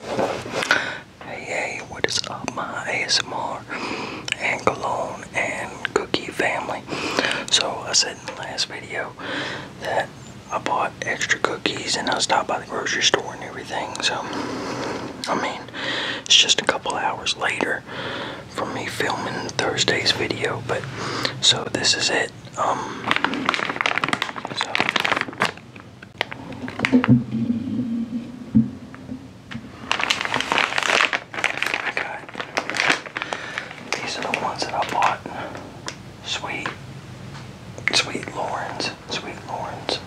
Hey, hey, what is up, my ASMR and cologne and cookie family? So, I said in the last video that I bought extra cookies and I stopped by the grocery store and everything. So, I mean, it's just a couple hours later for me filming Thursday's video, but so this is it. Um, so Okay. These are the ones that I bought. Sweet. Sweet Lawrence. Sweet Lawrence.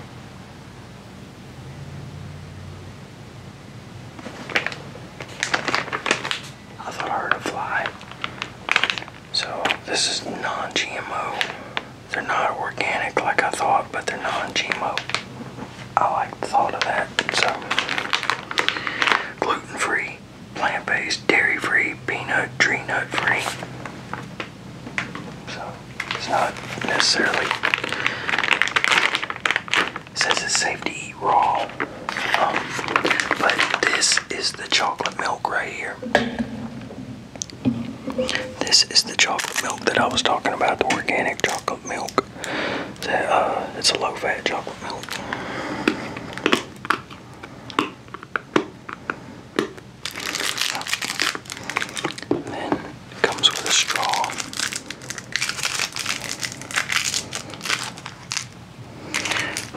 I thought I heard fly. So this is non-GMO. They're not organic like I thought, but they're non-GMO. I like the thought of that. So gluten-free, plant-based, dairy-free, peanut, tree nut-free. So it's not necessarily says it's safe to eat raw. Um, but this is the chocolate milk right here. This is the chocolate milk that I was talking about, the organic chocolate milk. Uh, it's a low-fat chocolate milk. then comes with a straw.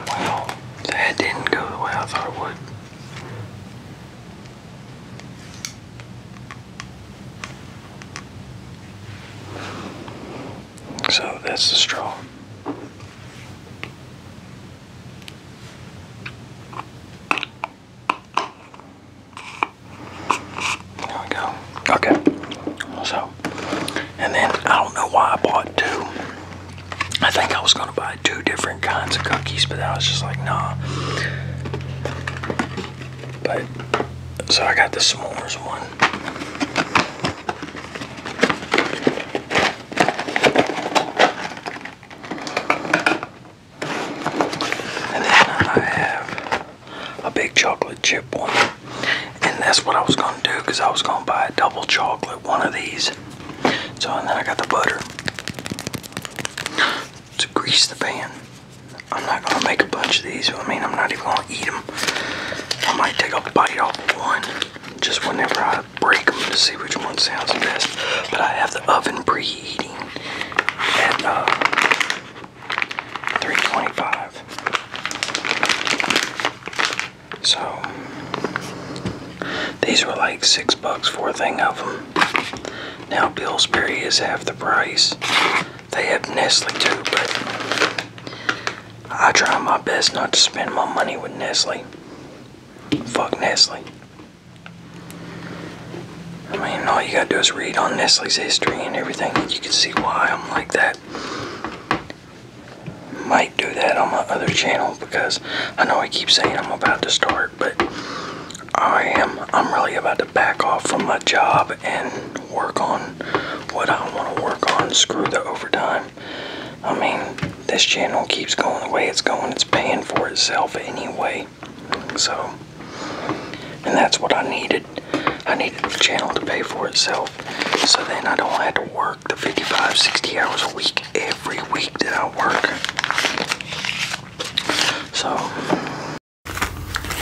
Wow, that didn't go the way I thought it would. So that's the straw. There we go. Okay. So, and then I don't know why I bought two. I think I was going to buy two different kinds of cookies, but I was just like, nah. But so I got the s'mores one. And then I have a big chocolate chip one. And that's what I was going to do because I was going to buy a double chocolate one of these so, then I got the butter to grease the pan. I'm not gonna make a bunch of these. I mean, I'm not even gonna eat them. I might take a bite off one just whenever I break them to see which one sounds best. But I have the oven preheating at uh, 325. So these were like six bucks for a thing of them. Now Pillsbury is half the price. They have Nestle too, but I try my best not to spend my money with Nestle. Fuck Nestle. I mean, all you gotta do is read on Nestle's history and everything, and you can see why I'm like that might do that on my other channel because I know I keep saying I'm about to start, but I am. I'm really about to back off from my job and work on what I want to work on. Screw the overtime. I mean, this channel keeps going the way it's going. It's paying for itself anyway. So, and that's what I needed. I needed the channel to pay for itself so then I don't have to work the 55, 60 hours a week every week that I work. So,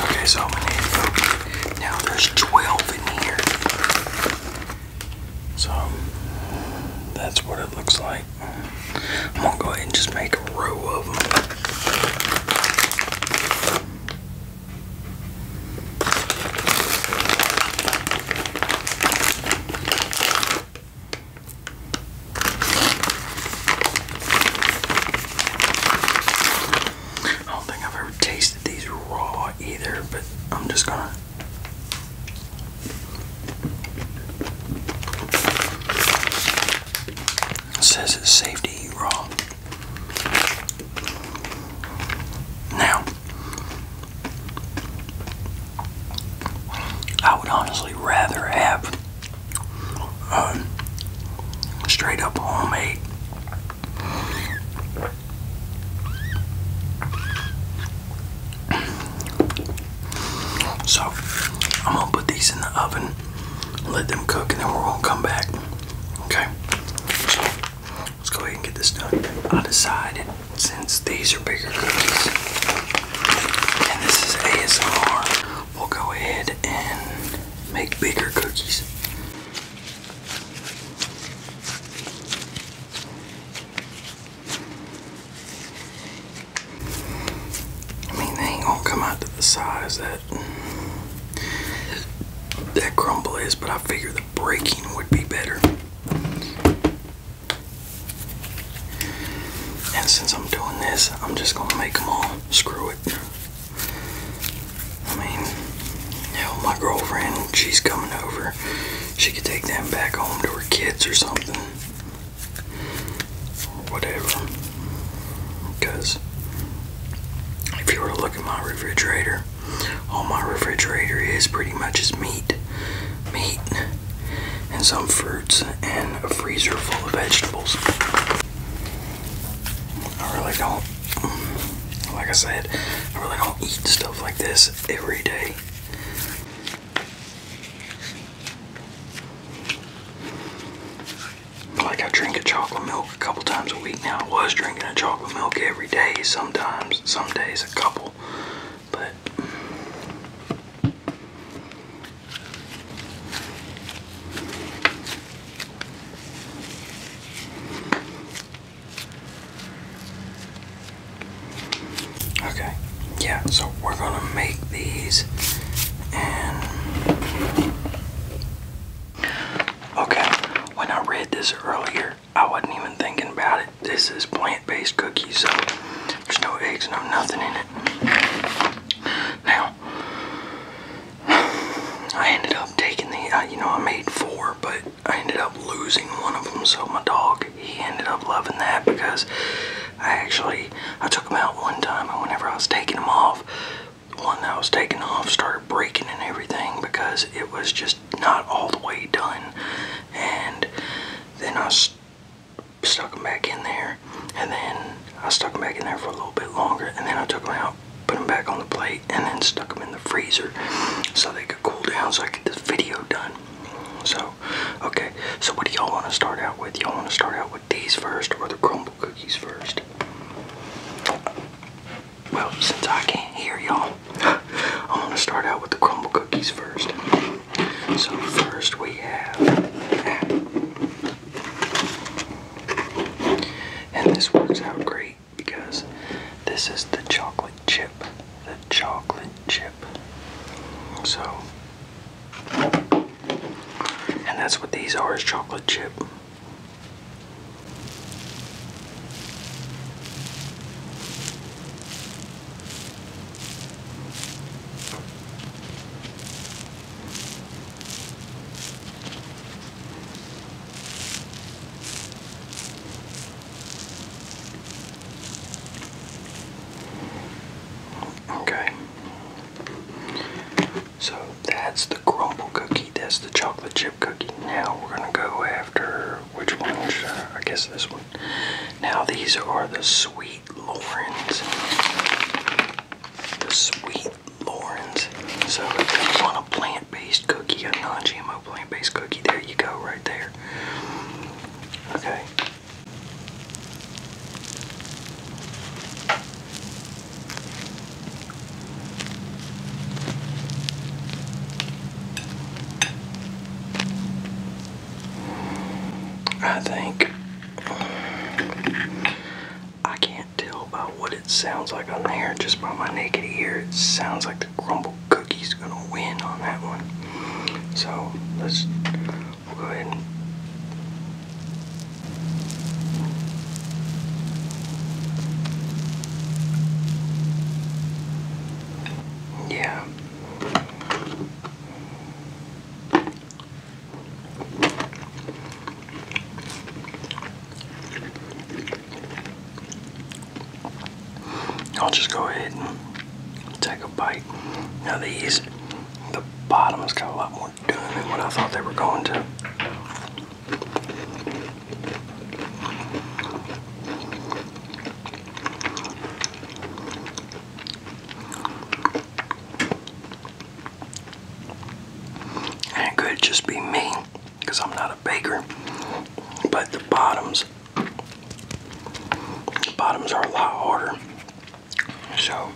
okay, so i need to Now there's 12 in here. So, that's what it looks like. I'm gonna go ahead and just make a row of them. I don't think I've ever tasted these raw either, but I'm just gonna. It says it's safe to eat raw. Now, I would honestly rather have um, straight up homemade so I'm gonna put these in the oven let them cook and then we're gonna come back okay Let's go ahead and get this done. I decided since these are bigger cookies and this is ASMR, we'll go ahead and make bigger cookies. I mean, they ain't gonna come out to the size that that crumble is, but I figure the breaking would be better. And since I'm doing this, I'm just gonna make them all. Screw it. I mean, hell, my girlfriend, she's coming over. She could take them back home to her kids or something. whatever. Because if you were to look at my refrigerator, all my refrigerator is pretty much is meat, meat, and some fruits, and a freezer full of vegetables. I really don't, like I said, I really don't eat stuff like this every day. Like I drink a chocolate milk a couple times a week now. I was drinking a chocolate milk every day, sometimes, some days a couple. But Okay, yeah, so we're gonna make these and okay, when I read this earlier, I wasn't even thinking about it. This is plant-based cookies, so there's no eggs, no nothing in it. Now, I ended up taking the, you know, I made four, but I ended up losing one of them, so my dog, he ended up loving that because I actually, I took him out one time, and whenever I was taking him off, one that I was taking off started breaking and everything because it was just not all the way done and then I stuck them back in there and then I stuck them back in there for a little bit longer and then I took them out put them back on the plate and then stuck them in the freezer so they could cool down so I could get this video done so okay so what do y'all want to start out with y'all want to start out with these first or the crumble cookies first well, since I can't hear y'all, I'm gonna start out with the crumble cookies first. So first we have And this works out great because this is the chocolate chip. The chocolate chip. So and that's what these are is chocolate chip. Okay. So that's the crumble cookie. That's the chocolate chip now we're gonna go after which one? Uh, I guess this one. Now these are the Sweet Laurens. The Sweet Laurens. So if you want a plant-based cookie, a non-GMO plant-based cookie, there you go, right there. Okay. I think I can't tell by what it sounds like on there, just by my naked ear. It sounds like the crumble cookie's gonna win on that one. So let's go ahead and yeah. I'll just go ahead and take a bite. Now these, the bottoms got a lot more done than what I thought they were going to. And it could just be me, because I'm not a baker. But the bottoms, the bottoms are a lot harder. So,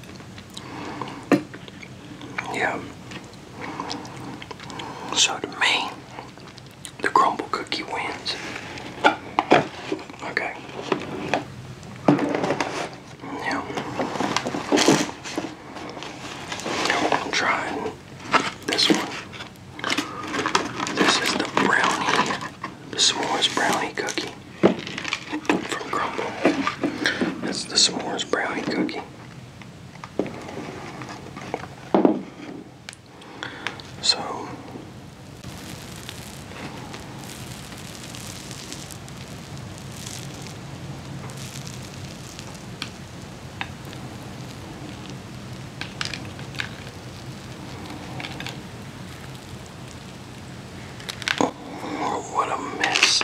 yeah, so to me, the crumble cookie wins. Okay. Now, I'm this one. This is the brownie, the s'mores brownie cookie from Crumble. That's the s'mores brownie cookie. So What a mess.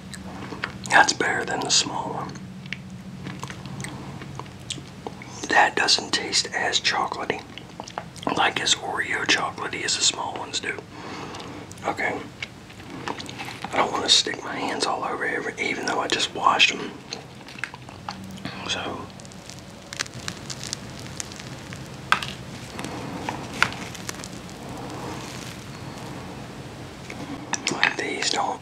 That's better than the small one. That doesn't taste as chocolatey. Like as Oreo chocolatey as the small ones do. Okay. I don't want to stick my hands all over it, even though I just washed them. So. these don't.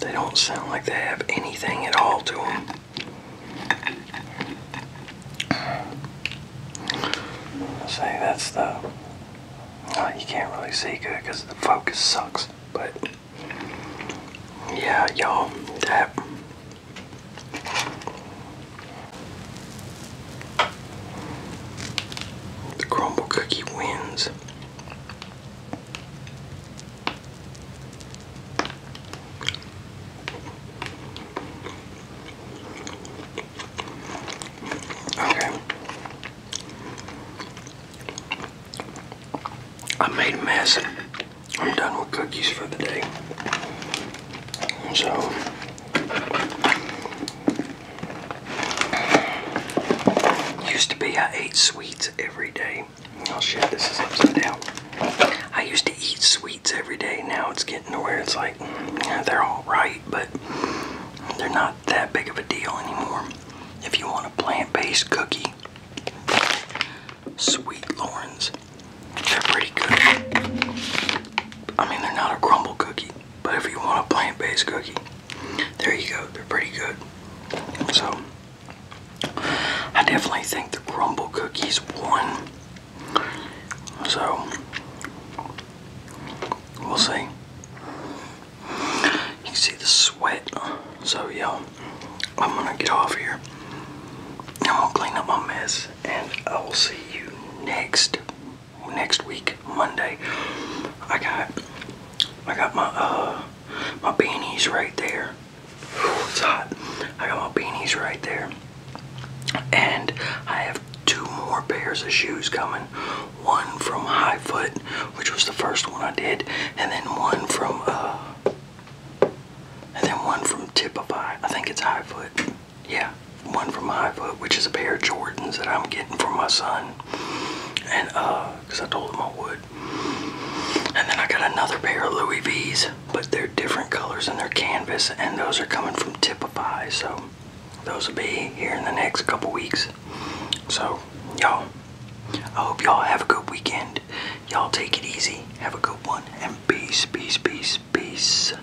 They don't sound like they have anything at all to them. Say that's the. you can't really see good because the focus sucks. But yeah, y'all, that. The crumble cookie wins. Okay. I made a mess. I'm done with cookies for the day. So Used to be I ate sweets every day. Oh shit, this is upside down. I used to eat sweets every day. Now it's getting to where it's like, they're alright, but they're not that big of a deal anymore. If you want a plant-based cookie, Sweet Lauren's, they're pretty good. I mean, they're not a crumble cookie. But if you want a plant-based cookie, there you go. They're pretty good. So I definitely think the crumble cookies won. So we'll see. You see the sweat. So yeah, I'm gonna get off here. I'm gonna clean up my mess and I will see you next next week, Monday. I got I got my uh my beanies right there. it's hot. I got my beanies right there. And I have two more pairs of shoes coming. One from High Foot, which was the first one I did, and then one from uh and then one from Tip of Tipify. I think it's High Foot yeah, one from my Foot, which is a pair of Jordans that I'm getting for my son. And, uh, because I told him I would. And then I got another pair of Louis V's, but they're different colors and they're canvas, and those are coming from Tipify, so those will be here in the next couple weeks. So, y'all, I hope y'all have a good weekend. Y'all take it easy, have a good one, and peace, peace, peace, peace.